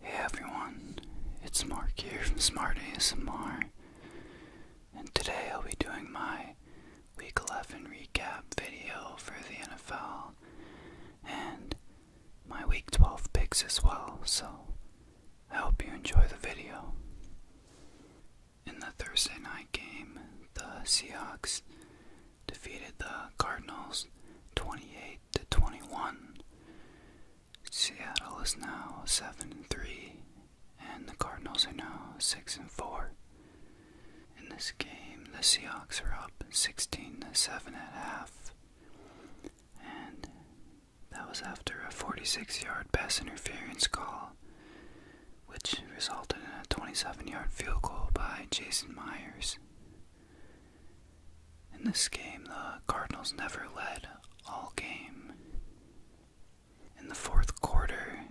Hey everyone, it's Mark here from Smart ASMR, and today I'll be doing my Week 11 recap video for the NFL and my Week 12 picks as well, so I hope you enjoy the video. In the Thursday night game, the Seahawks defeated the Cardinals 28 to 21. Seattle is now 7 and 3, and the Cardinals are now 6 and 4. In this game, the Seahawks are up 16 to 7 at half. And that was after a 46 yard pass interference call, which resulted in a 27 yard field goal by Jason Myers. In this game, the Cardinals never led all game. In the fourth quarter,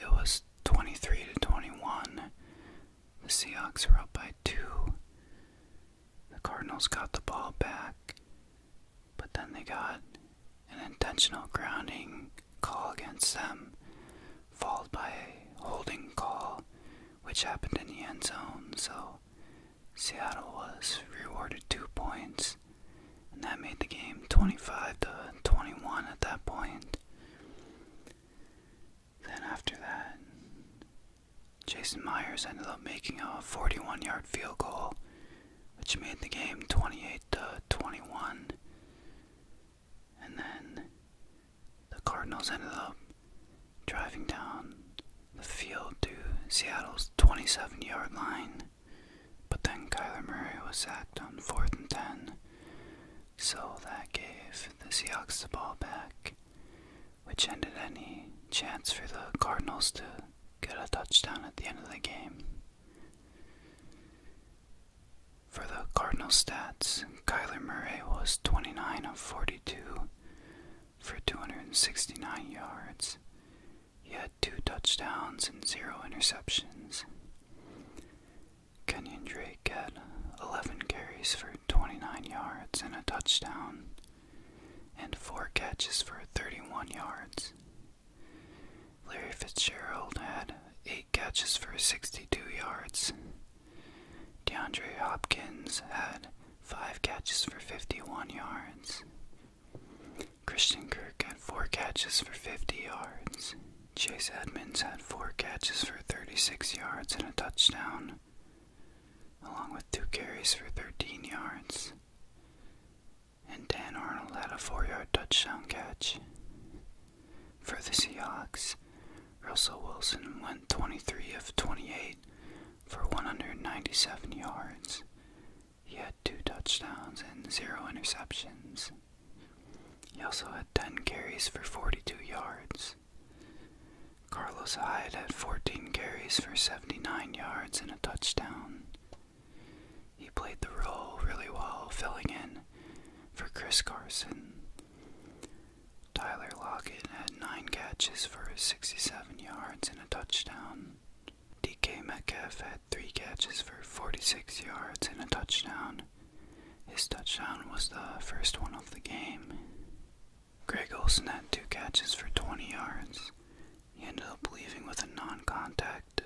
it was 23 to 21. The Seahawks were up by 2. The Cardinals got the ball back, but then they got an intentional grounding call against them, followed by a holding call, which happened in the end zone. So Seattle was rewarded two points, and that made the game 25 to 21 at that point. Then after that, Jason Myers ended up making a 41-yard field goal, which made the game 28 to 21. And then the Cardinals ended up Driving down the field to Seattle's 27 yard line, but then Kyler Murray was sacked on 4th and 10, so that gave the Seahawks the ball back, which ended any chance for the Cardinals to get a touchdown at the end of the game. For the Cardinal stats, Kyler Murray was 29 of 42 for 269 yards. He had two touchdowns and zero interceptions. Kenyon Drake had 11 carries for 29 yards and a touchdown, and four catches for 31 yards. Larry Fitzgerald had eight catches for 62 yards. DeAndre Hopkins had 5 catches for 51 yards. Christian Kirk had 4 catches for 50 yards. Chase Edmonds had 4 catches for 36 yards and a touchdown, along with 2 carries for 13 yards. And Dan Arnold had a 4 yard touchdown catch. For the Seahawks, Russell Wilson went 23 of 28 for 197 yards. He had two touchdowns and zero interceptions. He also had 10 carries for 42 yards. Carlos Hyde had 14 carries for 79 yards and a touchdown. He played the role really well, filling in for Chris Carson. Tyler Lockett had 9 catches for 67 yards and a touchdown. DK Metcalf had 3 catches for 46 yards and a touchdown. His touchdown was the first one of the game. Greg Olson had 2 catches for 20 yards. He ended up leaving with a non contact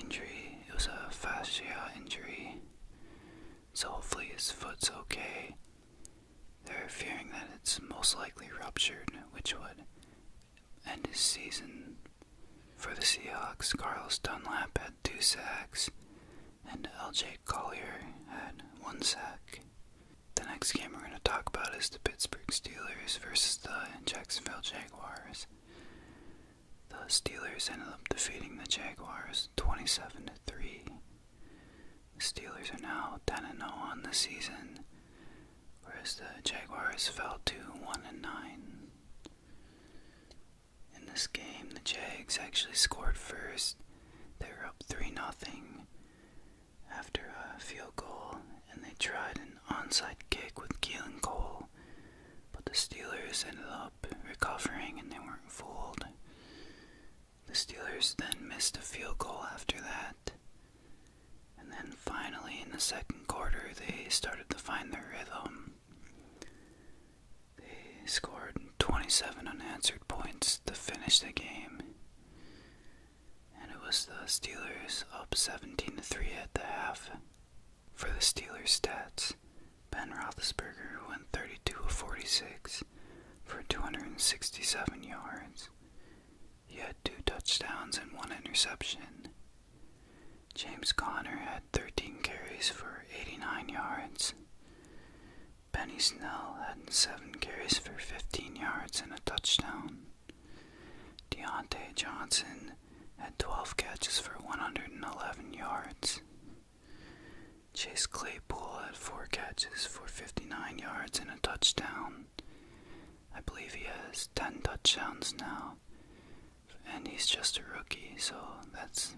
injury. It was a fascia injury. So hopefully his foot's okay. They're fearing that it's most likely ruptured, which would end his season. For the Seahawks, Carlos Dunlap had two sacks, and LJ Collier had one sack. The next game we're going to talk about is the Pittsburgh Steelers versus the Jacksonville Jaguars. The Steelers ended up defeating the Jaguars 27 3. The Steelers are now 10 0 on the season, whereas the Jaguars fell to 1 9. In this game, the Jags actually scored first. They were up 3 0 after a field goal, and they tried an onside kick with Keelan Cole, but the Steelers ended up recovering and they weren't fooled. The Steelers then missed a field goal after that. And then finally, in the second quarter, they started to find their rhythm. They scored 27 unanswered points to finish the game. And it was the Steelers up 17 to 3 at the half. For the Steelers stats, Ben Roethlisberger went 32 of 46 for 267 yards he had two touchdowns and one interception. James Conner had 13 carries for 89 yards. Benny Snell had 7 carries for 15 yards and a touchdown. Deontay Johnson had 12 catches for 111 yards. Chase Claypool had 4 catches for 59 yards and a touchdown. I believe he has 10 touchdowns now. And he's just a rookie, so that's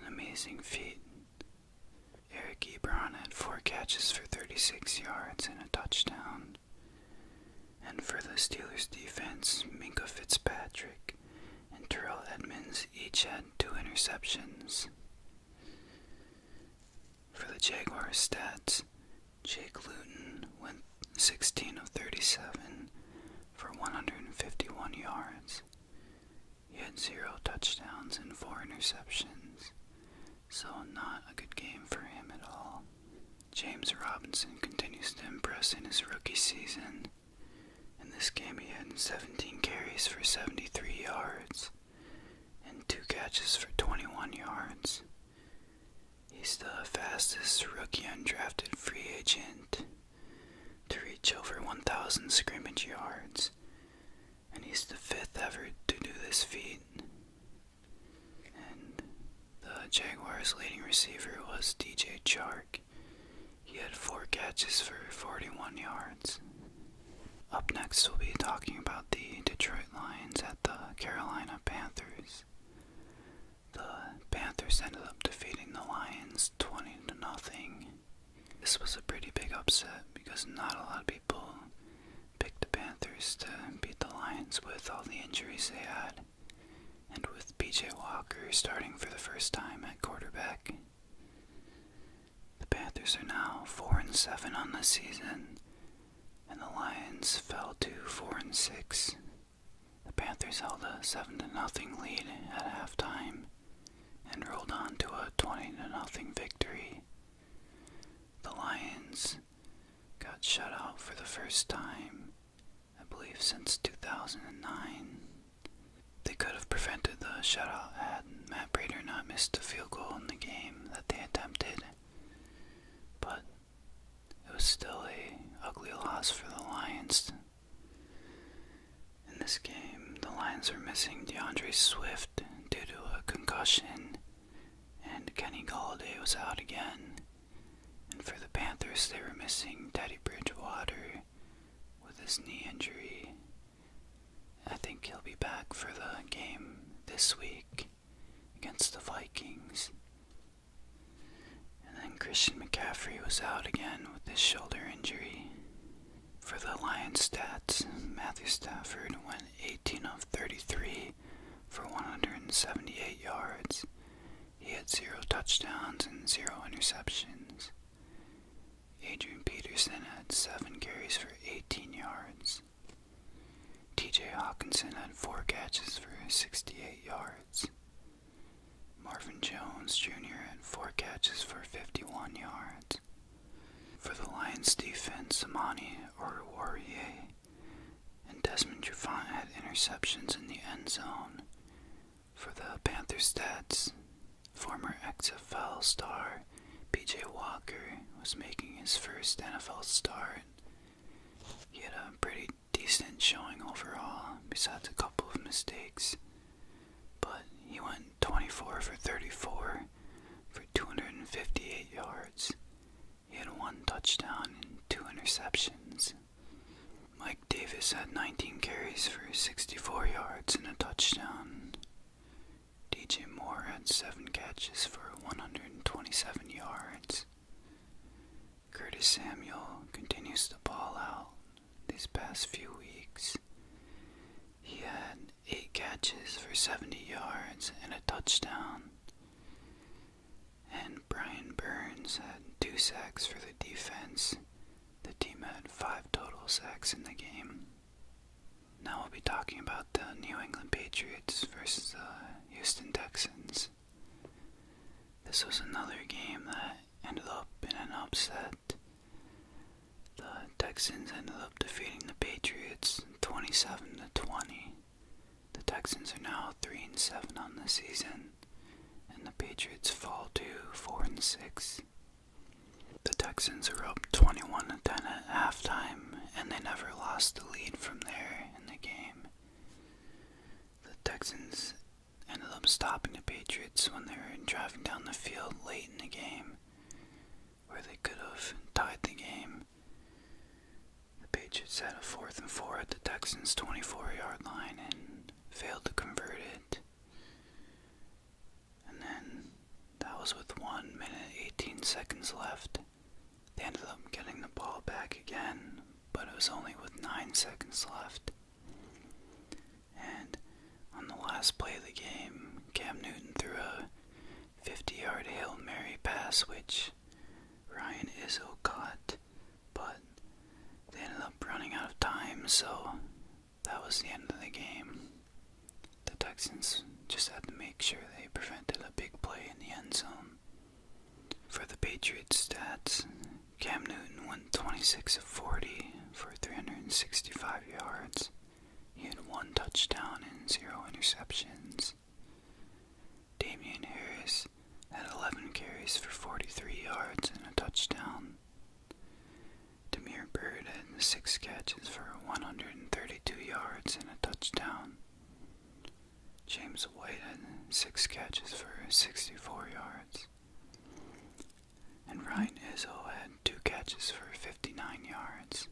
an amazing feat. Eric Ebron had four catches for 36 yards and a touchdown. And for the Steelers defense, Minka Fitzpatrick and Terrell Edmonds each had two interceptions. For the Jaguar stats, Jake Luton went 16 of 37 for 151 yards. He had zero touchdowns and four interceptions, so not a good game for him at all. James Robinson continues to impress in his rookie season. In this game, he had 17 carries for 73 yards and two catches for 21 yards. He's the fastest rookie undrafted free agent to reach over 1,000 scrimmage yards, and he's the fifth ever to do this feat. And the Jaguars' leading receiver was DJ Chark. He had four catches for 41 yards. Up next, we'll be talking about the Detroit Lions at the Carolina Panthers. The Panthers ended up defeating the Lions 20 to nothing. This was a pretty big upset because not a lot of people picked the Panthers to beat the Lions with all the injuries they had and with PJ Walker starting for the first time at quarterback. The Panthers are now 4 and 7 on the season, and the Lions fell to 4 and 6. The Panthers held a 7 to nothing lead at halftime and rolled on to a 20 to nothing victory. The Lions got shut out for the first time, I believe since 2009. They could have prevented the shutout had Matt Brader not missed a field goal in the game that they attempted. But it was still a ugly loss for the Lions. In this game, the Lions are missing DeAndre Swift due to a concussion, and Kenny Galladay was out again. And for the Panthers, they were missing Teddy Bridgewater with his knee injury. I think he'll be back for the game this week against the Vikings. And then Christian McCaffrey was out again with his shoulder injury. For the Lions stats, Matthew Stafford went 18 of 33 for 178 yards. He had zero touchdowns and zero interceptions. Adrian Peterson had seven carries for 18 yards. TJ Hawkinson had four catches for 68 yards. Marvin Jones Jr. had four catches for 51 yards. For the Lions defense, Amani Oruwariye and Desmond Trufant had interceptions in the end zone. For the Panthers stats, former XFL star before, PJ Walker was making his first NFL start. He had a pretty decent showing overall, besides a couple of mistakes. But he went 24 for 34 for 258 yards. He had one touchdown and two interceptions. Mike Davis had 19 carries for 64 yards and a touchdown. DJ Moore had seven catches for 127 yards. Curtis Samuel continues to ball out these past few weeks. He had eight catches for 70 yards and a touchdown. And Brian Burns had two sacks for the defense. The team had five total sacks in the game. Now we'll be talking about the New England Patriots versus the Houston Texans. This was another game that ended up in an upset. The Texans ended up defeating the Patriots 27 to 20. The Texans are now 3 and 7 on the season, and the Patriots fall to 4 and 6. The Texans are up 21 down 10 halftime, and they never lost the lead from there in the game. The Texans ended up stopping the Patriots when they were driving down the field late in the game, where they could have tied the game. The Patriots had a fourth and four at the Texans' 24 yard line and failed to convert it. And then that was with 1 minute 18 seconds left. They ended up getting the ball back again, but it was only with 9 seconds left. And on the last play of the game, Cam Newton threw a 50 yard Hail Mary pass, which Ryan Izzo caught, but they ended up running out of time, so that was the end of the game. The Texans just had to make sure they prevented a big play in the end zone. For the Patriots stats, Cam Newton went 26 of 40 for 365 yards. He had one touchdown and zero interceptions. Damian Harris had 11 carries for 43 yards and a touchdown. Demir Bird had 6 catches for 132 yards and a touchdown. James White had six catches for 64 yards. And Ryan Izzo had two catches for 59 yards.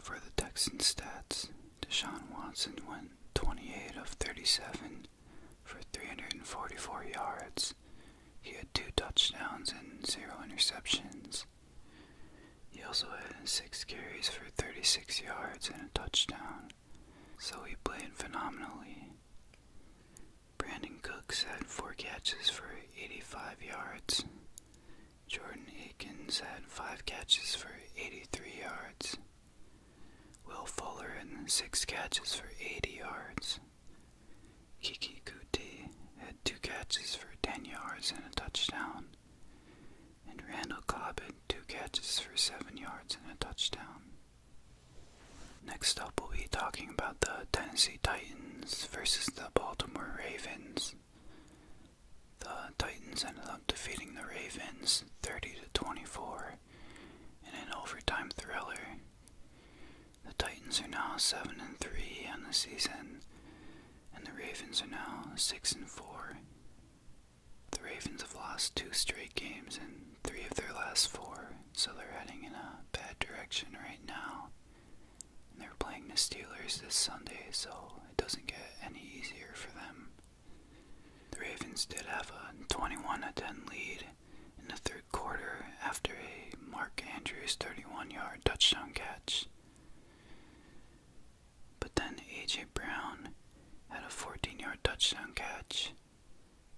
For the Texans stats, Deshaun Watson went 28 of 37 for 344 yards. He had two touchdowns and zero interceptions. He also had six carries for 36 yards and a touchdown, so he played phenomenally. Brandon Cooks had four catches for 85 yards. Jordan Aikens had five catches for 83 yards. Will Fuller had six catches for 80 yards. Kiki Kuti had two catches for 10 yards and a touchdown and Randall Cobb had two catches for seven yards and a touchdown. Next up, we'll be talking about the Tennessee Titans versus the Baltimore Ravens. The Titans ended up defeating the Ravens 30 to 24 in an overtime thriller. The Titans are now 7 and 3 on the season and the Ravens are now 6 and 4. The Ravens have lost two straight games and three of their last four, so they're heading in a bad direction right now. they're playing the Steelers this Sunday, so it doesn't get any easier for them. The Ravens did have a 21 10 lead in the third quarter after a Mark Andrews 31 yard touchdown catch. But then A.J. Brown had a 14 yard touchdown catch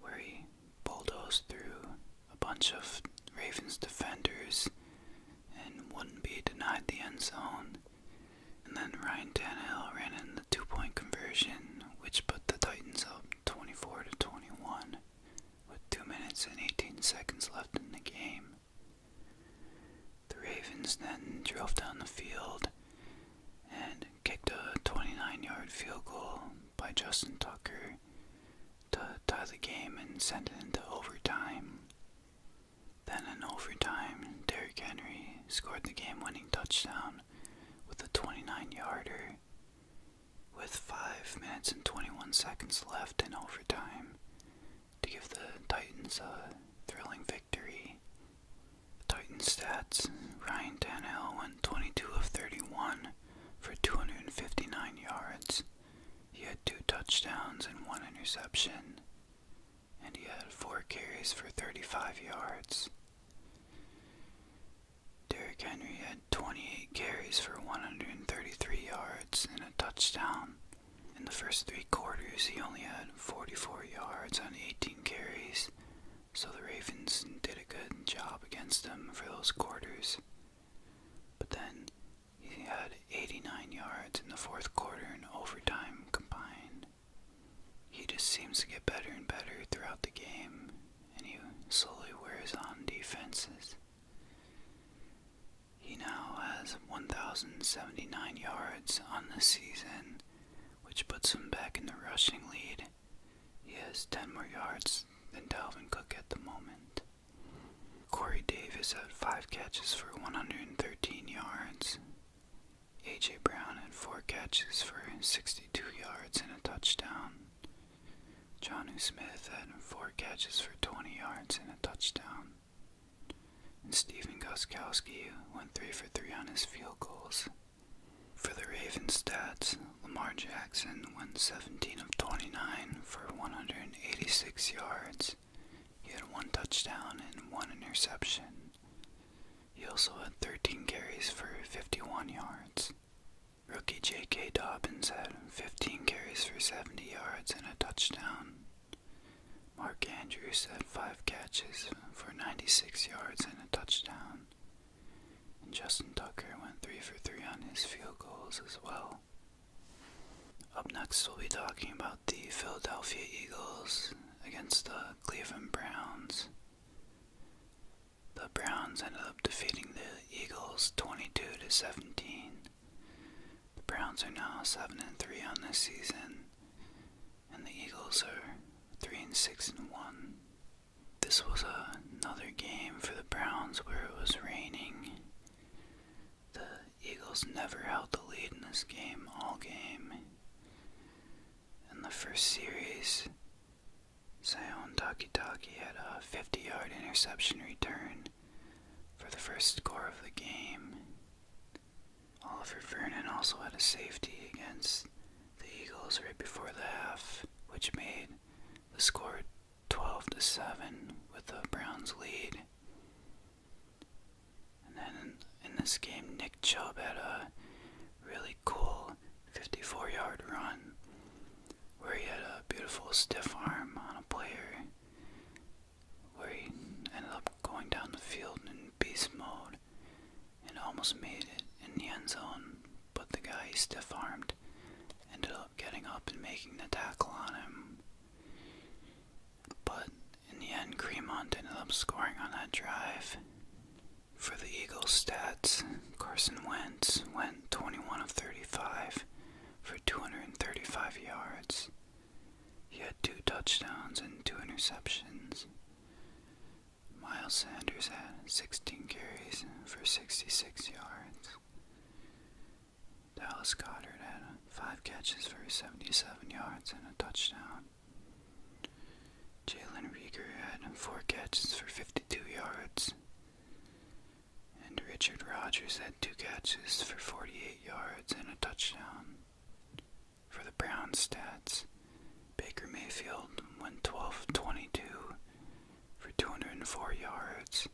where he bulldozed through a bunch of Ravens defenders and wouldn't be denied the end zone. And then Ryan Tannehill ran in the two point conversion, which put the Titans up 24 to 21 with 2 minutes and 18 seconds left in the game. The Ravens then drove down the field and kicked a 29 yard field goal by Justin Tucker to tie the game and send it into overtime. Then, in overtime, Derrick Henry scored the game winning touchdown with a 29 yarder. With 5 minutes and 21 seconds left in overtime, to give the Titans a thrilling victory. Titans stats Ryan Tannehill went 22 of 31 for 259 yards. He had two touchdowns and one interception, and he had four carries for 35 yards. Derrick Henry had 28 carries for 133 yards and a touchdown in the first three quarters, he only had 44 yards on 18 carries, so the Ravens did a good job against them for those quarters. But then he had 89 yards in the fourth quarter and overtime combined. He just seems to get better and better throughout the game, and he slowly wears on defenses. He now has 1,079 yards on the season, which puts him back in the rushing lead. He has 10 more yards than Dalvin Cook at the moment. Corey Davis had 5 catches for 113 yards. A.J. Brown had 4 catches for 62 yards and a touchdown. Johnu Smith had 4 catches for 20 yards and a touchdown and Stephen Goskowski went 3 for 3 on his field goals. For the Ravens stats, Lamar Jackson went 17 of 29 for 186 yards. He had one touchdown and one interception. He also had 13 carries for 51 yards. Rookie J.K. Dobbins had 15 carries for 70 yards and a touchdown. Mark Andrews had five catches for 96 yards and a touchdown, and Justin Tucker went three for three on his field goals as well. Up next, we'll be talking about the Philadelphia Eagles against the Cleveland Browns. The Browns ended up defeating the Eagles 22 to 17. The Browns are now 7 and 3 on this season and the Eagles are three and six and one. This was another game for the Browns where it was raining. The Eagles never held the lead in this game all game. In the first series, Saion Takitaki had a 50 yard interception return for the first score of the game. Oliver Vernon also had a safety against the Eagles right before the half, which made the score 12 to 7 with the Browns lead. And then in, this game, Nick Chubb had a really cool 54 yard run where he had a beautiful stiff arm on a player where he ended up going down the field in beast mode and almost made it in the end zone, but the guy stiff armed ended up getting up and making the tackle on him. But in the end, Cremont ended up scoring on that drive. For the Eagles stats, Carson Wentz went 21 of 35 for 235 yards. He had two touchdowns and two interceptions. Miles Sanders had 16 carries for 66 yards. Dallas Goddard had 5 catches for 77 yards and a touchdown. Jalen Rieger had 4 catches for 52 yards. And Richard Rogers had 2 catches for 48 yards and a touchdown. For the Browns stats, Baker Mayfield went 12 22 for 204 yards.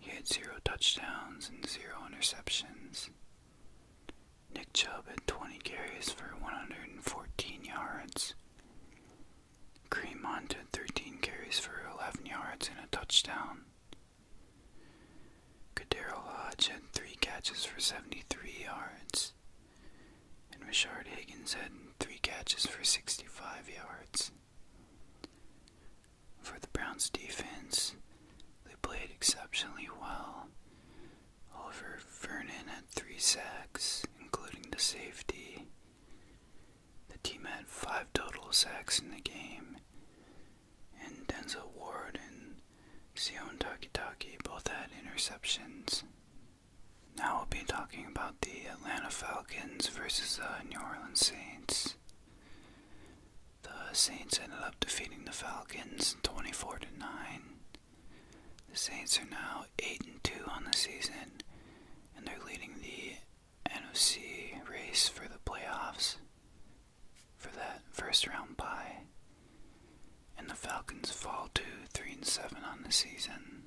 He had zero touchdowns and zero interceptions. Nick Chubb had 20 carries for 114 yards. Kareem Hunt 13 carries for 11 yards and a touchdown. Kadero Hodge had three catches for 73 yards, and Richard Higgins had three catches for 65 yards. For the Browns defense, they played exceptionally well. Oliver Vernon had three sacks, including the safety. The team had five total sacks in the game, and Denzel Ward and Sion Takitaki both had interceptions. Now we'll be talking about the Atlanta Falcons versus the New Orleans Saints. The Saints ended up defeating the Falcons 24 to 9. The Saints are now 8 and 2 on the season and they're leading the NFC race for the playoffs for that first round bye. And the Falcons fall to 3 and 7 on the season.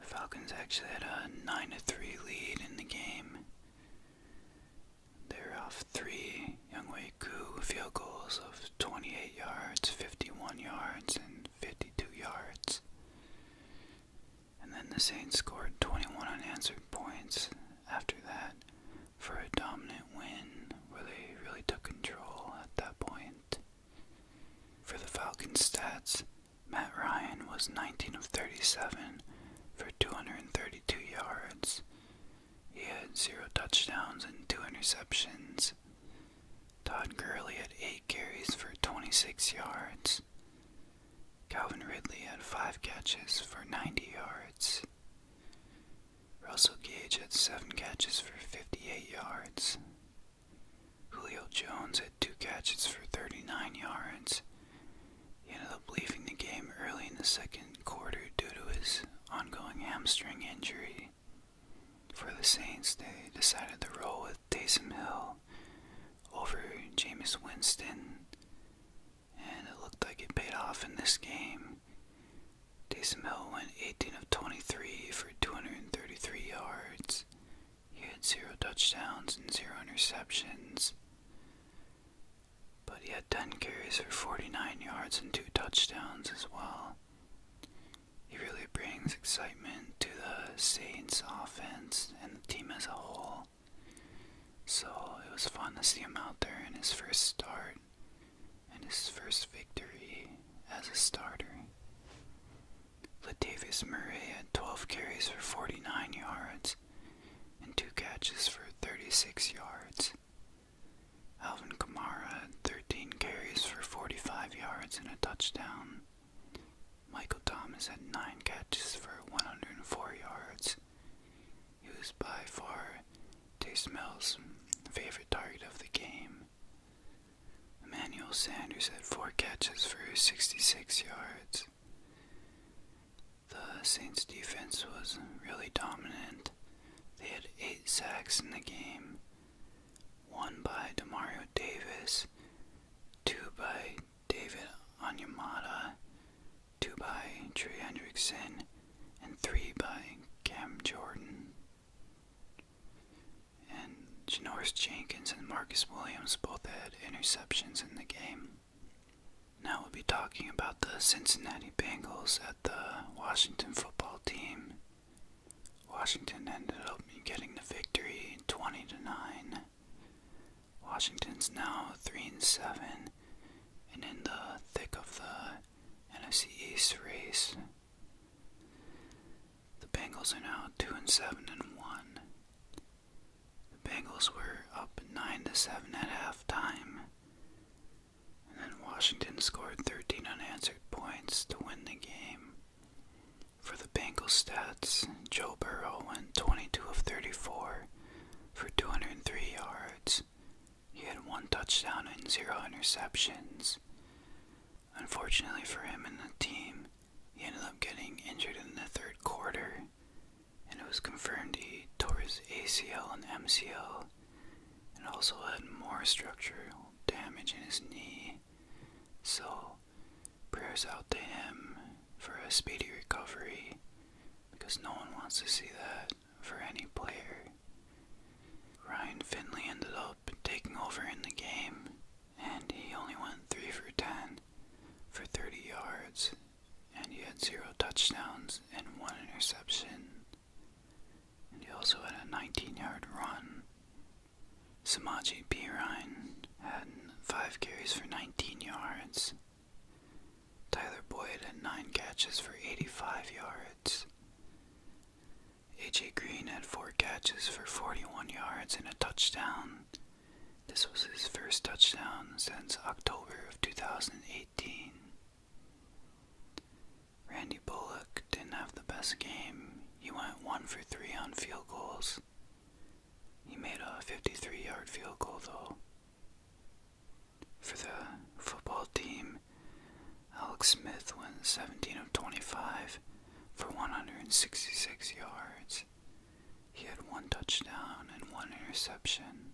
Falcons actually had a 9 to 3 lead in the game. They're off three Youngway Koo field goals of 28 yards, 51 yards, and 52 yards. And then the Saints scored 21 unanswered points after that for a dominant win where they really took control at that point. For the Falcons stats, Matt Ryan was 19 of 37 for 232 yards. He had 0 touchdowns and 2 interceptions. Todd Gurley had 8 carries for 26 yards. Calvin Ridley had 5 catches for 90 yards. Russell Gage had seven catches for 58 yards. Julio Jones had two catches for 39 yards. He ended up leaving the game early in the second quarter due to his ongoing hamstring injury. For the Saints, they decided to roll with Taysom Hill over Jameis Winston and it looked like it paid off in this game. Taysom Hill went 18 of 23 for 233 yards. He had zero touchdowns and zero interceptions. But he had 10 carries for 49 yards and two touchdowns as well. He really brings excitement to the Saints offense and the team as a whole. So it was fun to see him out there in his first start and his first victory as a starter. Latavius Murray had 12 carries for 49 yards and two catches for 36 yards. Alvin Kamara had 13 carries for 45 yards and a touchdown. Michael Thomas had 9 catches for 104 yards. He was by far Taysmell's favorite target of the game. Emmanuel Sanders had four catches for 66 yards. The Saints' defense was really dominant. They had eight sacks in the game one by Demario Davis, two by David Onyemata, two by Trey Hendrickson, and three by Cam Jordan. And Janoris Jenkins and Marcus Williams both had interceptions in the game. Now we'll be talking about the Cincinnati Bengals at the Washington football team. Washington ended up getting the victory 20 to 9. Washington's now 3 and 7 and in the thick of the NFC East race, the Bengals are now two and seven and one. The Bengals were up nine to seven at halftime, and then Washington scored 13 unanswered points to win the game. For the Bengals stats, Joe Burrow went 22 of 34 for 203 yards he had one touchdown and zero interceptions. Unfortunately for him and the team, he ended up getting injured in the third quarter, and it was confirmed he tore his ACL and MCL, and also had more structural damage in his knee. So, prayers out to him for a speedy recovery, because no one wants to see that for any player. Ryan Finley ended up taking over in the game, and he only went 3 for 10 for 30 yards, and he had 0 touchdowns and 1 interception. And he also had a 19 yard run. Samaji P. Ryan had 5 carries for 19 yards Tyler Boyd had 9 catches for 85 yards. A.J. Green had 4 catches for 41 yards and a touchdown. This was his first touchdown since October of 2018. Randy Bullock didn't have the best game. He went 1 for 3 on field goals. He made a 53 yard field goal though. For the football team, Alex Smith went 17 of 25 for 166 yards. He had one touchdown and one interception.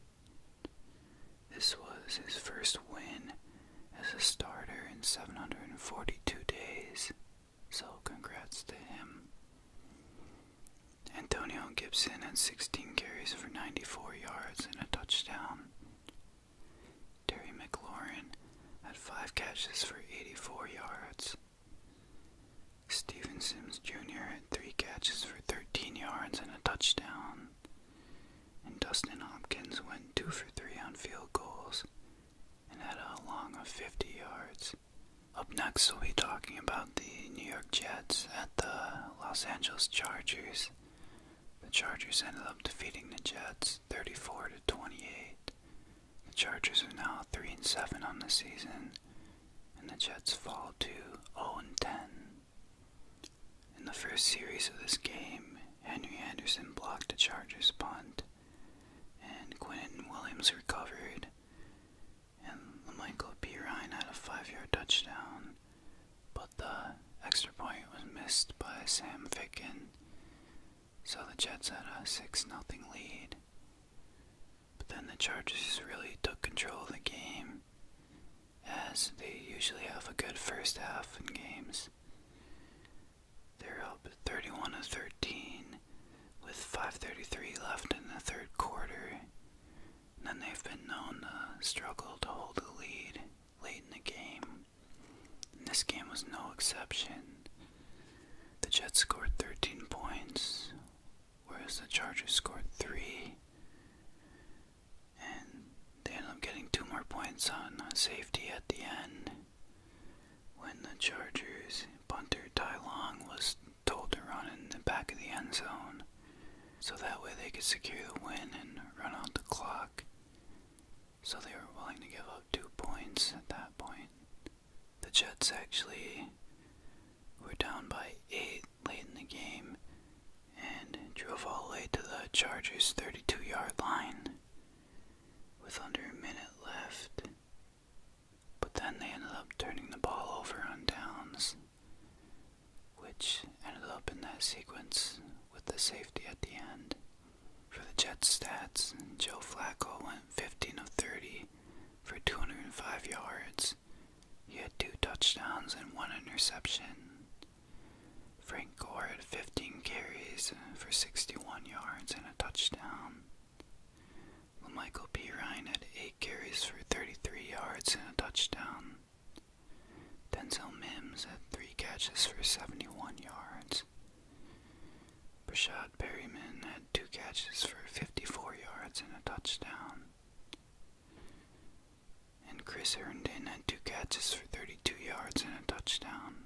This was his first win as a starter in 742 days, so congrats to him. Antonio Gibson had 16 carries for 94 yards and a touchdown down. Terry McLaurin had five catches for 84 yards. Steven Jr. had three catches for 13 yards and a touchdown. And Dustin Hopkins went two for three on field goals and had a long of 50 yards. Up next, we'll be talking about the New York Jets at the Los Angeles Chargers. The Chargers ended up defeating the Jets 34 to 28. The Chargers are now 3 and 7 on the season, and the Jets fall to 0 and 10. In the first series of this game, Henry Anderson blocked a Chargers punt, and Quinton Williams recovered, and Michael P. Ryan had a five-yard touchdown, but the extra point was missed by Sam Ficken, so the Jets had a 6 0 lead. But then the Chargers really took control of the game, as they usually have a good first half in games. They're up 31 to 13 with 5:33 left in the third quarter. And then they've been known to struggle to hold the lead late in the game. And this game was no exception. The Jets scored 13 points, whereas the Chargers scored 3. And they ended up getting 2 more points on uh, safety at the end when the Chargers punter Ty Long was told to run in the back of the end zone so that way they could secure the win and run out the clock. So they were willing to give up two points at that point. The Jets actually were down by eight late in the game and drove all the way to the Chargers' 32 yard line with under a minute left. But then they ended up turning the ball over on downs which ended up in that sequence with the safety at the end. For the Jets stats, Joe Flacco went 15 of 30 for 205 yards. He had two touchdowns and one interception. Frank Gore had 15 carries for 61 yards and a touchdown. Michael P. Ryan had 8 carries for 33 yards and a touchdown. Denzel Mims had three catches for 71 yards. Brashad Berryman had two catches for 54 yards and a touchdown. And Chris Herndon had two catches for 32 yards and a touchdown.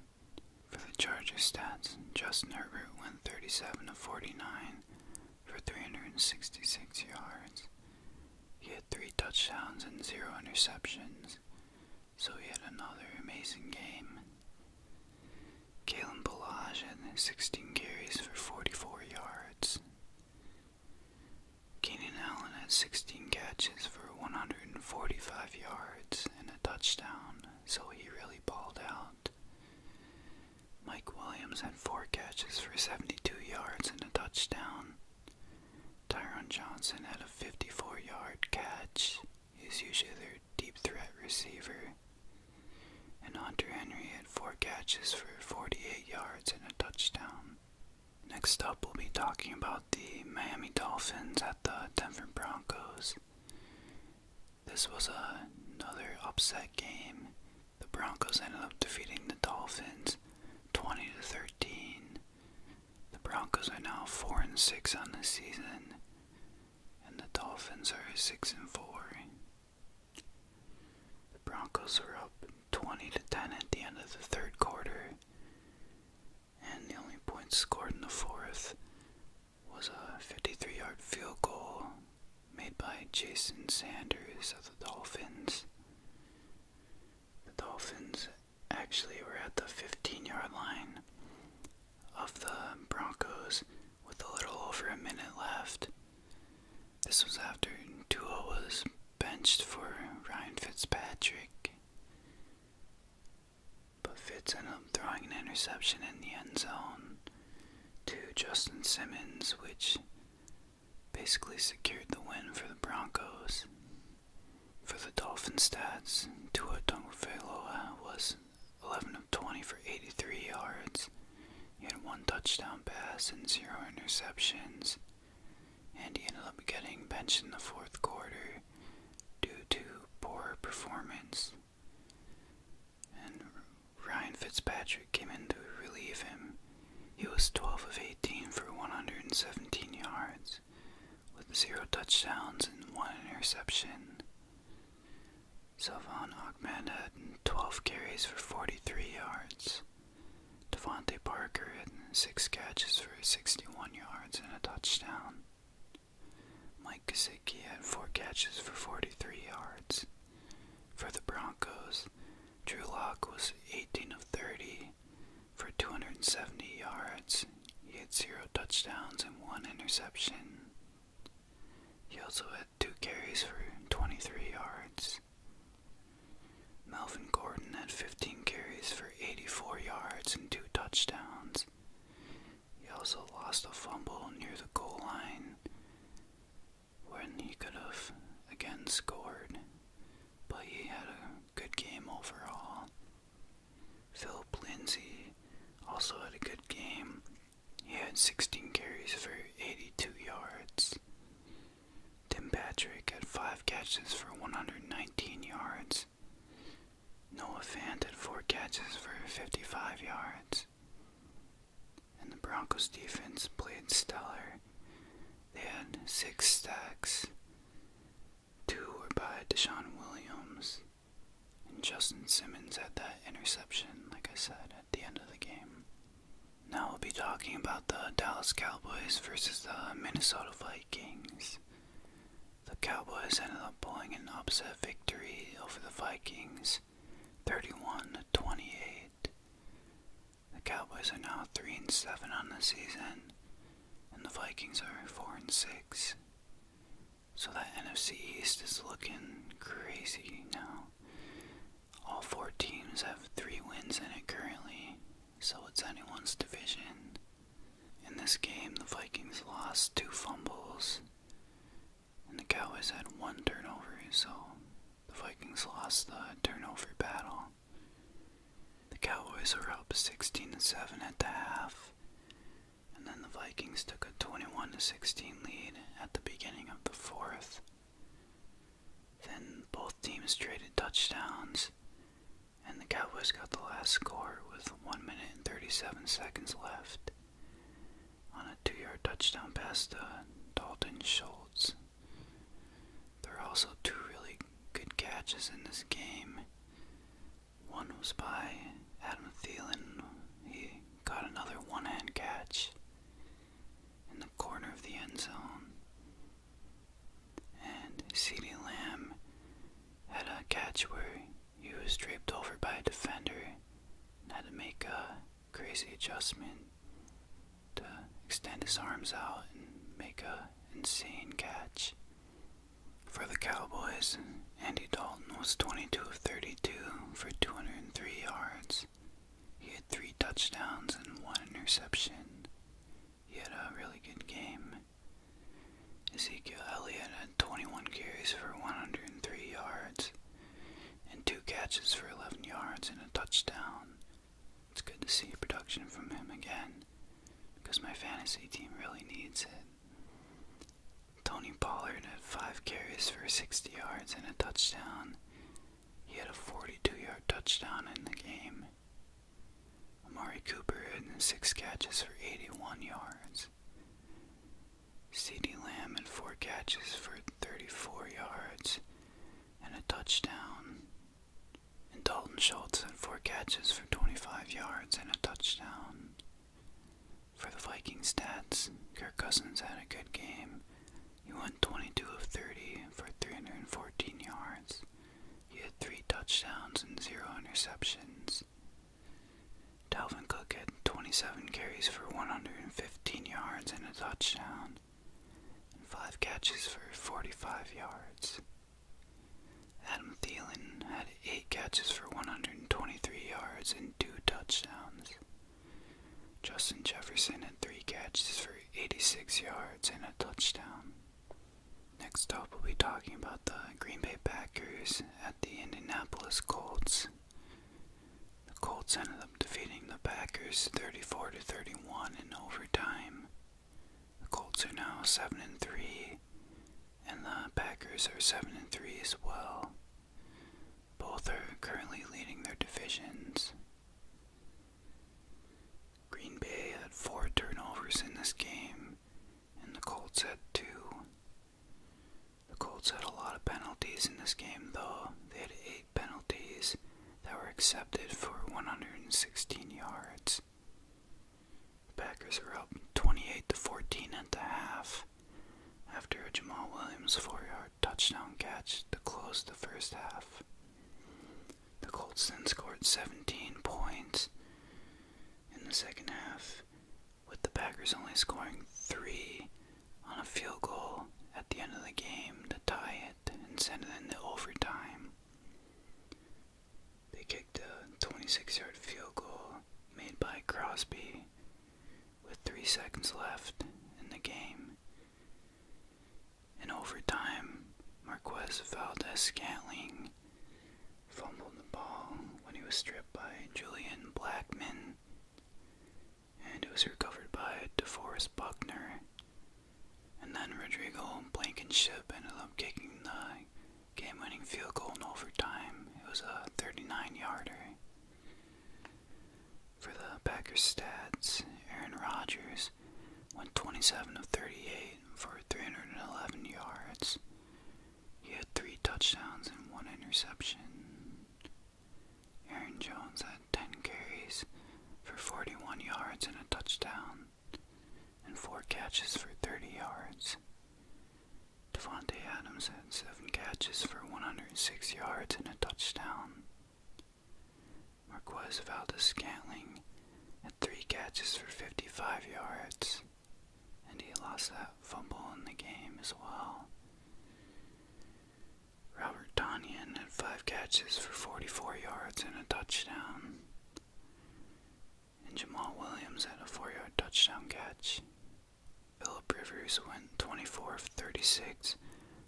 For the Chargers stats, Justin Herbert went 37 of 49 for 366 yards he had three touchdowns and zero interceptions, so he had another amazing game. Kalen Balaj had 16 carries for 44 yards. Keenan Allen had 16 catches for 145 yards and a touchdown, so he really balled out. Mike Williams had 4 catches for 72 yards and a touchdown. Tyron Johnson had a 54 yard catch. He's usually their deep threat receiver. And Hunter Henry had four catches for 48 yards and a touchdown. Next up, we'll be talking about the Miami Dolphins at the Denver Broncos. This was another upset game. The Broncos ended up defeating the Dolphins 20 to 13. The Broncos are now 4 and 6 on the season, and the Dolphins are 6 and 4. The Broncos are up 20 to 10 at the end of the third quarter, and the only point scored in the fourth was a 53 yard field goal made by Jason Sanders of the Dolphins. The Dolphins actually were at the 15 yard line of the Broncos with a little over a minute left. This was after Dua was benched for Ryan Fitzpatrick. But Fitz ended up throwing an interception in the end zone to Justin Simmons, which basically secured the win for the Broncos. For the Dolphin stats, Tua Tagovailoa was 11 of 20 for 83 yards. He had one touchdown pass and zero interceptions, and he ended up getting benched in the fourth quarter due to poor performance. And Ryan Fitzpatrick came in to relieve him, he was 12 of 18 for 117 yards, with zero touchdowns and one interception. Salvan Ahmed had 12 carries for 43 yards. Devonte Parker had 6 catches for 61 yards and a touchdown. Mike Kosicki had 4 catches for 43 yards. For the Broncos, Drew Locke was 18 of 30 for 270 yards, he had zero touchdowns and one interception. He also had two carries for 23 yards. Melvin Gordon had 15 carries for 84 yards and two touchdowns. He also lost a fumble near the goal line when he could have again scored, but he had a good game overall. Philip Lindsay also had a good game. He had 16 carries for 82 yards. Tim Patrick had 5 catches for 119 yards. Noah Fant had 4 catches for 55 yards. And the Broncos defense played stellar. They had 6 sacks. Two were by Deshaun Williams and Justin Simmons had that interception, like I said, at the end of the game. Now we'll be talking about the Dallas Cowboys versus the Minnesota Vikings. The Cowboys ended up pulling an upset victory over the Vikings, 31 to 28. The Cowboys are now 3 and 7 on the season, and the Vikings are 4 and 6. So the NFC East is looking crazy now. All four teams have 3 wins in it currently, so it's anyone's division. In this game, the Vikings lost 2 fumbles, and the Cowboys had 1 turnover, so the Vikings lost the turnover battle. The Cowboys were up 16 to 7 at the half, and then the Vikings took a 21 to 16 lead at the beginning of the fourth. Then both teams traded touchdowns, and the Cowboys got the last score with 1 minute and 37 seconds left on a two yard touchdown pass to Dalton Schultz. There are also two really good catches in this game. One was by Adam Thielen. He got another one hand catch in the corner of the end zone. And CeeDee Lamb had a catch where he was draped over by a defender and had to make a crazy adjustment to extend his arms out and make a insane catch. For the Cowboys, Andy Dalton was 22 of 32 for 203 yards. He had three touchdowns and one interception. He had a really good game. Ezekiel Elliott had 21 carries for 103 yards and two catches for 11 yards and a touchdown. It's good to see production from him again because my fantasy team really needs it. Tony Pollard had 5 carries for 60 yards and a touchdown. He had a 42 yard touchdown in the game. Amari Cooper had 6 catches for 81 yards. C.D. Lamb had 4 catches for 34 yards and a touchdown. And Dalton Schultz had four catches for 25 yards and a touchdown. For the Viking stats, Kirk Cousins had a good game. He went 22 of 30 for 314 yards. He had three touchdowns and zero interceptions. Dalvin Cook had 27 carries for 115 yards and a touchdown, and five catches for 45 yards. Adam Thielen had 8 catches for 123 yards and 2 touchdowns. Justin Jefferson had 3 catches for 86 yards and a touchdown. Next up, we'll be talking about the Green Bay Packers at the Indianapolis Colts. The Colts ended up defeating the Packers 34 to 31 in overtime. The Colts are now seven and three, and the Packers are seven and three as well. Both are currently leading their divisions. Green Bay had four turnovers in this game, and the Colts had two. The Colts had a lot of penalties in this game, though. They had eight penalties that were accepted for 116 yards. Packers are up 28 to 14 at the half after a Jamal Williams 4-yard touchdown catch to close the first half. The Colts then scored 17 points in the second half, with the Packers only scoring 3 on a field goal at the end of the game to tie it and send it into overtime. They kicked a 26-yard field goal made by Crosby with 3 seconds left in the game. In overtime, Marquez Valdez-Scantling fumbled the ball when he was stripped by Julian Blackman, and it was recovered by DeForest Buckner and then Rodrigo Blankenship ended up kicking the game winning field goal in overtime. It was a 39 yarder. For the Packers stats, Aaron Rodgers went 27 of 38 for 311 yards. He had three touchdowns and one interception. Aaron Jones had 10 carries for 41 yards and a touchdown and four catches for 30 yards. Devontae Adams had seven catches for 106 yards and a touchdown. Marquez Valdez Scantling had three catches for 55 yards, and he lost that fumble in the game as well. Robert Tanyan had five catches for 44 yards and a touchdown. And Jamal Williams had a four yard touchdown catch. Philip Rivers went 24 of 36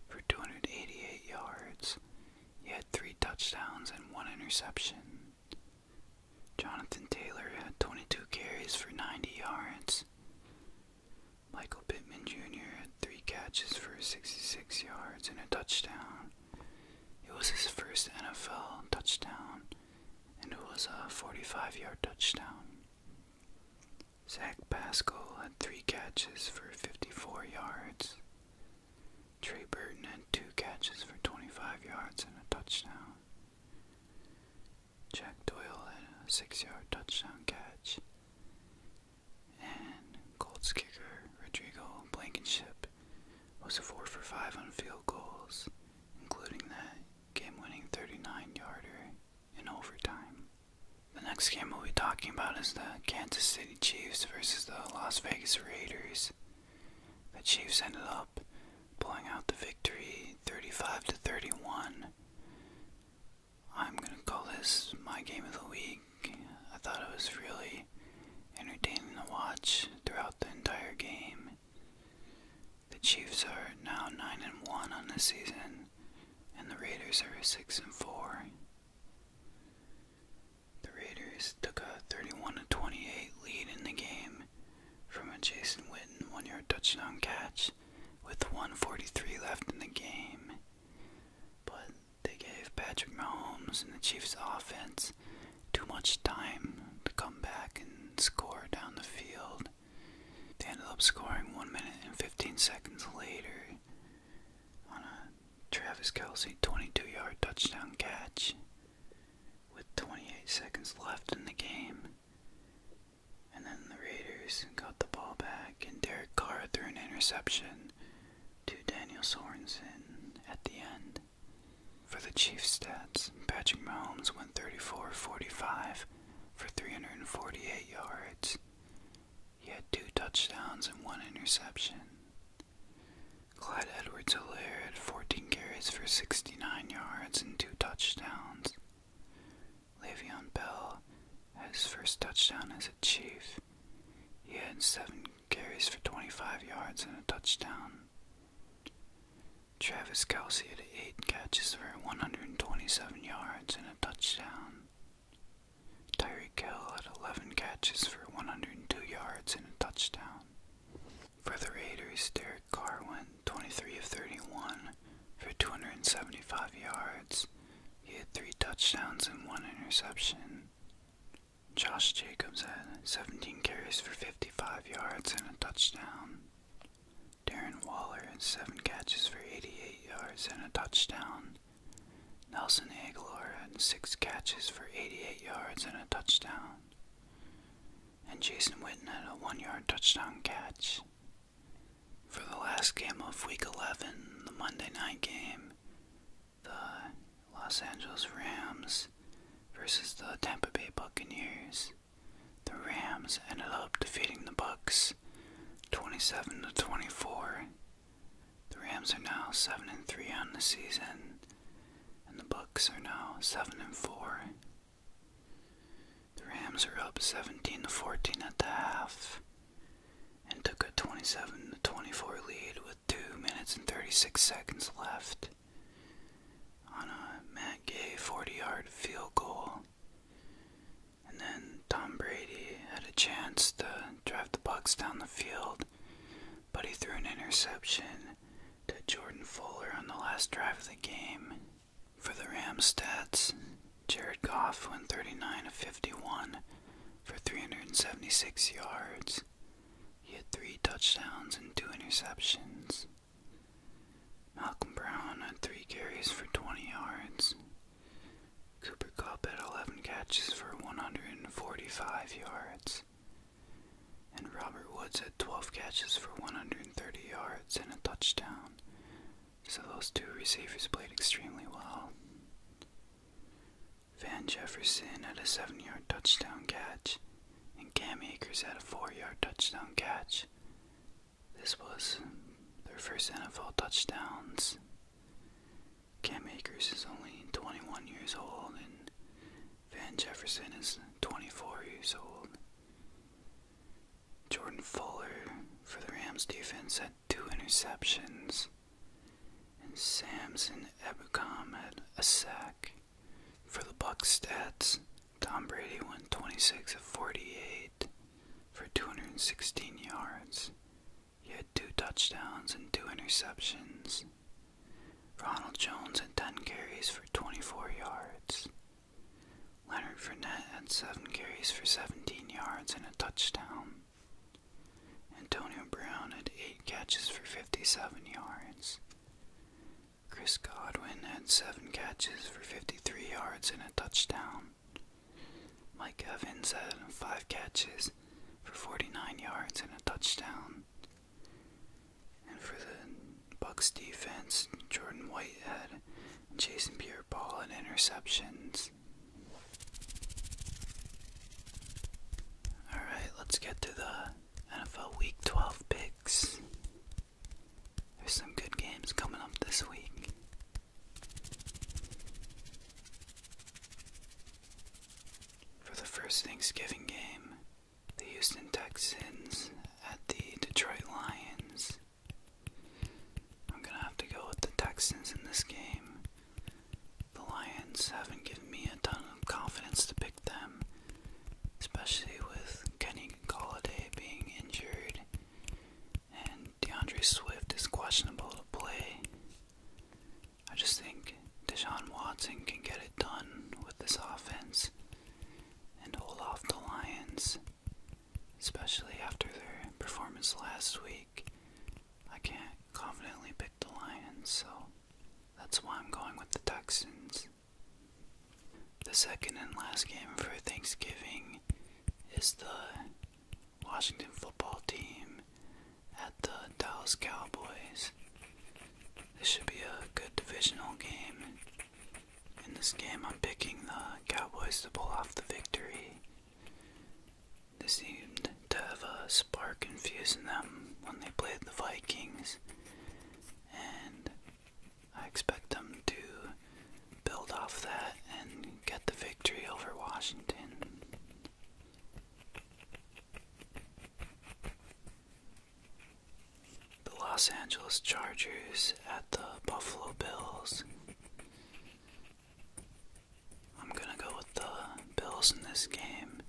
for 288 yards. He had three touchdowns and one interception. Jonathan Taylor had 22 carries for 90 yards. Michael Pittman Jr. had three catches for 66 yards and a touchdown. It was his first NFL touchdown, and it was a 45 yard touchdown. Zach Pascal had three catches for 54 yards. Trey Burton had two catches for 25 yards and a touchdown. Jack Doyle had a six yard touchdown catch. And Colts kicker Rodrigo Blankenship was a 4 for 5 on field goals, including that game winning 39 yarder in overtime. The next game we'll be talking about is the Kansas City Chiefs versus the Las Vegas Raiders. The Chiefs ended up pulling out the victory 35 to 31. I'm going to call this my game of the week. I thought it was really entertaining to watch throughout the entire game. The Chiefs are now 9 and 1 on the season, and the Raiders are 6 and 4. The Raiders took a 31 28 lead in the game from a Jason Witten one yard touchdown catch with 143 left in the game. But they gave Patrick Mahomes and the Chiefs offense too much time to come back and score down the field. They ended up scoring 1 minute and 15 seconds later on a Travis Kelsey 22 yard touchdown catch with 28 seconds left in the game. And then the Raiders got the ball back, and Derek Carr threw an interception to Daniel Sorensen at the end. For the Chiefs stats, Patrick Mahomes went 34 45 for 348 yards. He had two touchdowns and one interception. Clyde Edwards Hilaire had 14 carries for 69 yards and two touchdowns. Le'Veon Bell had his first touchdown as a Chief. He had seven carries for 25 yards and a touchdown. Travis Kelsey had 8 catches for 127 yards and a touchdown. Tyreek Kill had 11 catches for 102 yards and a touchdown. For the Raiders, Derek Carr went 23 of 31 for 275 yards. He had 3 touchdowns and 1 interception. Josh Jacobs had 17 carries for 55 yards and a touchdown. Darren Waller had 7 catches for 88 yards and a touchdown. Nelson Aguilar had 6 catches for 88 yards and a touchdown. And Jason Witten had a 1 yard touchdown catch. For the last game of Week 11, the Monday night game, the Los Angeles Rams versus the Tampa Bay Buccaneers. The Rams ended up defeating the Bucks 27 to 24. The Rams are now 7 and 3 on the season and the Bucks are now 7 and 4. The Rams are up 17 to 14 at the half and took a 27 to 24 lead with 2 minutes and 36 seconds left on a Matt Gay 40 yard field goal. And then Tom Brady had a chance to drive the Bucks down the field, but he threw an interception to Jordan Fuller on the last drive of the game. For the Rams stats, Jared Goff went 39 of 51 for 376 yards. He had three touchdowns and two interceptions. Malcolm Brown had three carries for 20 yards. Cooper Cup had 11 catches for 145 yards. And Robert Woods had 12 catches for 130 yards and a touchdown. So those two receivers played extremely well. Van Jefferson had a seven yard touchdown catch, and Cam Akers had a four yard touchdown catch. This was their first NFL touchdowns. Cam Akers is only 21 years old, and Van Jefferson is 24 years old. Jordan Fuller for the Rams defense had two interceptions, and Samson Ebukam had a sack. For the Bucks stats, Tom Brady went 26 of 48 for 216 yards. He had two touchdowns and two interceptions. Ronald Jones had 10 carries for 24 yards. Leonard Fournette had 7 carries for 17 yards and a touchdown. Antonio Brown had 8 catches for 57 yards. Chris Godwin had seven catches for 53 yards and a touchdown. Mike Evans had five catches for 49 yards and a touchdown. And for the Bucks defense, Jordan Whitehead and Jason Pierre Paul had interceptions. Alright, let's get to the NFL Week 12 picks. There's some good games coming up this week. For the first Thanksgiving game, the Houston Texans at the Detroit Lions. I'm gonna have to go with the Texans in this game. The Lions haven't given me a ton of confidence to pick them, especially with Kenny Galladay being injured and DeAndre Swift is questionable to play. I just think Deshaun Watson can get it done with this offense and hold off the Lions, especially after their performance last week. I can't confidently pick the Lions, so that's why I'm going with the Texans. The second and last game for Thanksgiving is the Washington football team at the Dallas Cowboys. This should be a good divisional game. In this game, I'm picking the Cowboys to pull off the victory. They seemed to have a spark infused them when they played the Vikings, and I expect them to build off that and get the victory over Washington. The Los Angeles Chargers at the Buffalo Bills. I'm gonna go with the Bills in this game.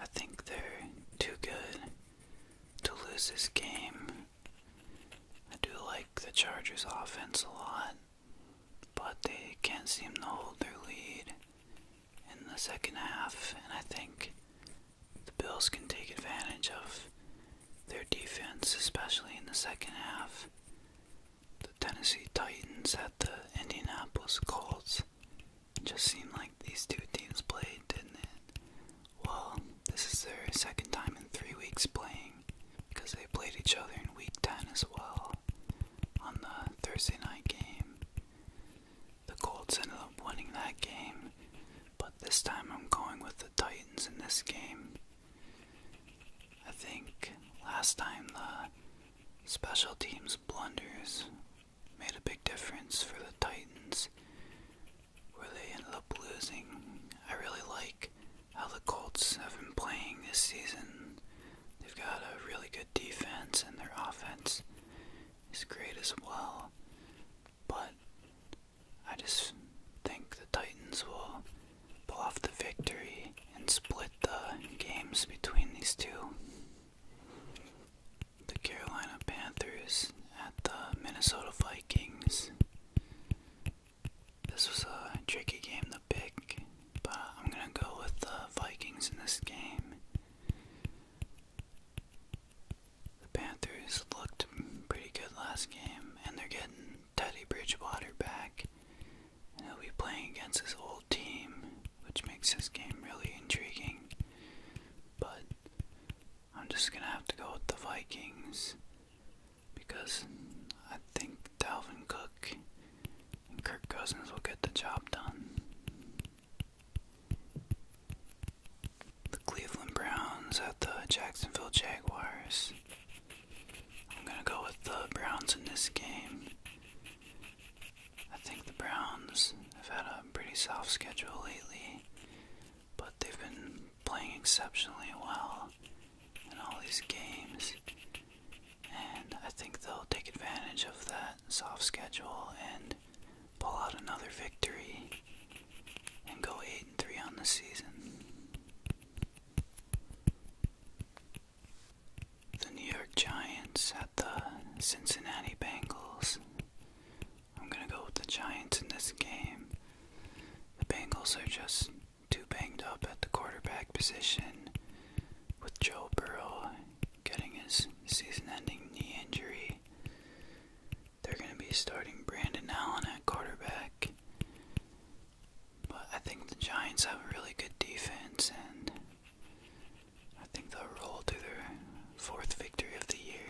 I think they're too good to lose this game. I do like the Chargers offense a lot, but they can't seem to hold their lead in the second half, and I think the Bills can take advantage of their defense, especially in the second half. The Tennessee Titans at the Indianapolis Colts just seemed like these two teams played, didn't it? Well, this is their second time in three weeks playing because they played each other in week 10 as well on the Thursday night game. The Colts ended up winning that game, but this time I'm going with the Titans in this game. I think last time the special teams blunders made a big difference for the Titans, where they ended up losing. I really like how the Colts have been playing this season. They've got a really good defense, and their offense is great as well. But I just think the Titans will pull off the victory and split the games between these two the Carolina Panthers at the Minnesota Vikings. This was a tricky game to pick, but I'm going to go with the Vikings in this game. The Panthers looked pretty good last game, and they're getting Teddy Bridgewater back. And he'll be playing against his old team, which makes this game really intriguing. But I'm just gonna have to go with the Vikings because I think Dalvin Cook and Kirk Cousins will get the job done. The Cleveland Browns at the Jacksonville Jaguars. I'm gonna go with the Browns in this game I think the Browns have had a pretty soft schedule lately, but they've been playing exceptionally well in all these games. And I think they'll take advantage of that soft schedule and pull out another victory and go 8 and 3 on the season. The New York Giants at the Cincinnati Bengals. I'm going to go with the Giants in this game. The Bengals are just too banged up at the quarterback position with Joe Burrow getting his season ending knee injury. They're going to be starting Brandon Allen at quarterback. But I think the Giants have a really good defense and I think they'll roll to their fourth victory of the year.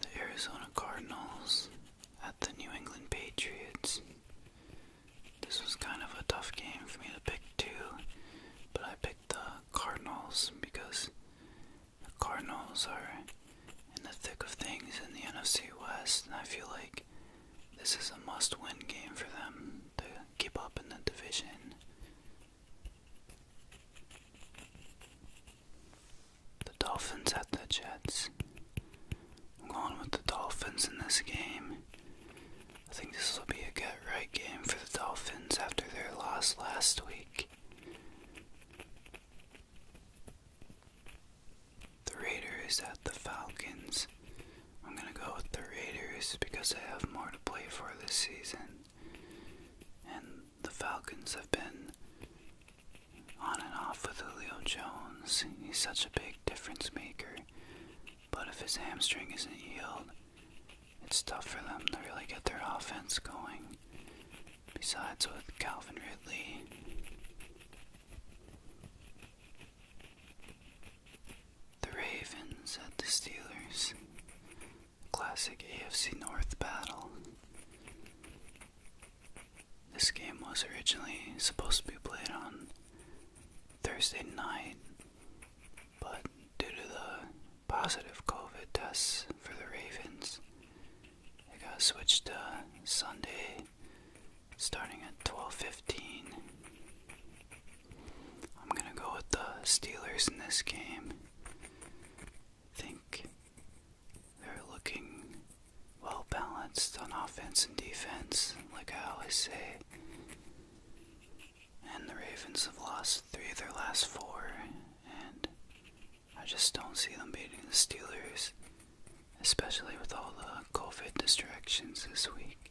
The Arizona Cardinals at the New England Patriots. This was kind of a tough game for me to pick too, but I picked the Cardinals because the Cardinals are in the thick of things in the NFC West, and I feel like this is a must win game for them to keep up in the division. The Dolphins at the Jets. I'm going with the Dolphins in this game. I think this will be a get right game for the Dolphins after their loss last week. The Raiders at the Falcons. I'm going to go with the Raiders because I have more to play for this season. And the Falcons have been on and off with Julio Jones. He's such a big difference maker. But if his hamstring isn't healed, it's tough for them to really get their offense going. Besides, with Calvin Ridley, the Ravens at the Steelers. Classic AFC North battle. This game was originally supposed to be played on Thursday night, but due to the positive COVID tests for the Ravens, it got switched to Sunday starting at 12:15. I'm gonna go with the Steelers in this game. I think they're looking well balanced on offense and defense, like I always say. And the Ravens have lost three of their last four, and I just don't see them beating the Steelers, especially with all the COVID distractions this week.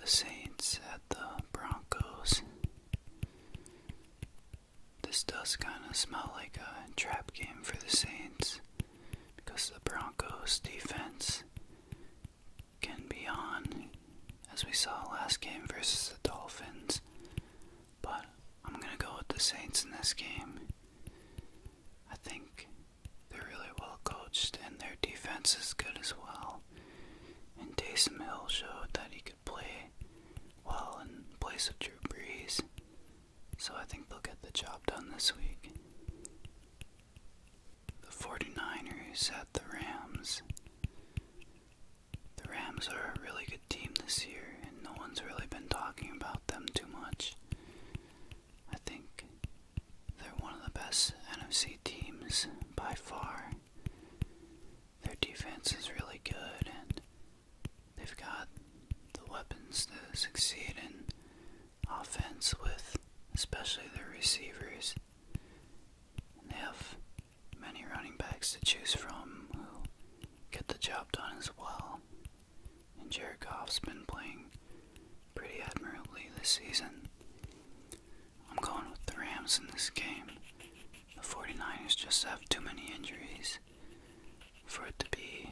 The Saints at the Broncos. This does kind of smell like a trap game for the Saints because the Broncos defense can be on as we saw last game versus the Dolphins. But I'm going to go with the Saints in this game. I think they're really well coached and their defense is good as well. And Taysom Hill showed that he could play well in place of Drew Brees. So I think they'll get the job done this week. The 49ers at the Rams. The Rams are a really good team this year, and no one's really been talking about them too much. I think they're one of the best NFC teams by far. Their defense is really good, and they've got the weapons to succeed in offense with, especially their receivers. And they have many running backs to choose from who get the job done as well and Jared Goff's been playing pretty admirably this season. I'm going with the Rams in this game. The 49ers just have too many injuries for it to be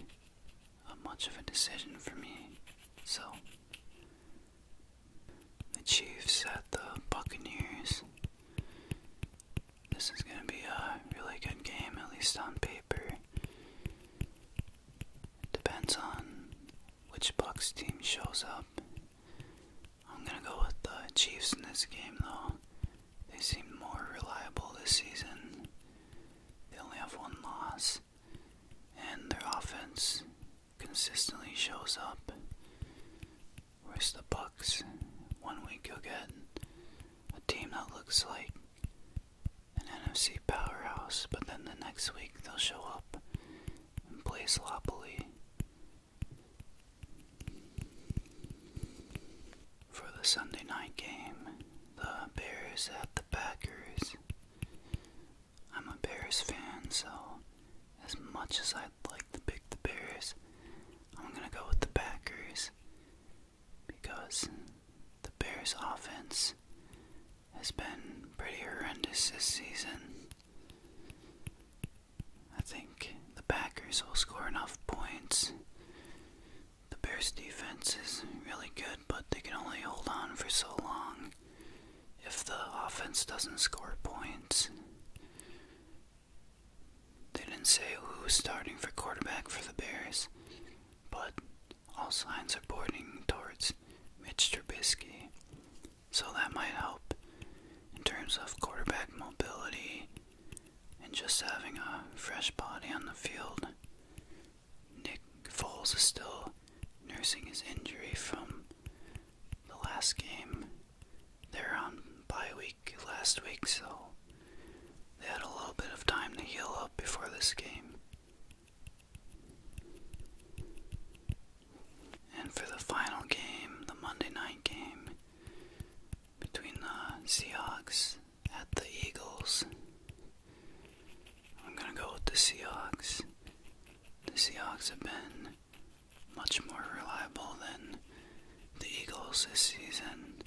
much of a decision for me. So, the Chiefs at the Buccaneers. This is going to be a really good game, at least on paper. Depends on which Bucks team shows up. I'm gonna go with the Chiefs in this game though. They seem more reliable this season. They only have one loss, and their offense consistently shows up. Where's the Bucks, one week you get a team that looks like an NFC powerhouse, but then the next week they'll show up and play sloppily. For the Sunday night game, the Bears at the Packers. I'm a Bears fan, so as much as I'd like to pick the Bears, I'm gonna go with the Packers because the Bears' offense has been pretty horrendous this season. I think the Packers will score enough points. The Bears' defense is really good, but they can only hold on for so long if the offense doesn't score points. They didn't say who's starting for quarterback for the Bears, but all signs are pointing towards Mitch Trubisky, so that might help in terms of quarterback mobility and just having a fresh body on the field. Nick Foles is still nursing his injury from the last game. They're on bye week last week, so they had a little bit of time to heal up before this game. And for the final game, the Monday night game between the Seahawks at the Eagles, I'm going to go with the Seahawks. The Seahawks have been much more reliable than the Eagles this season.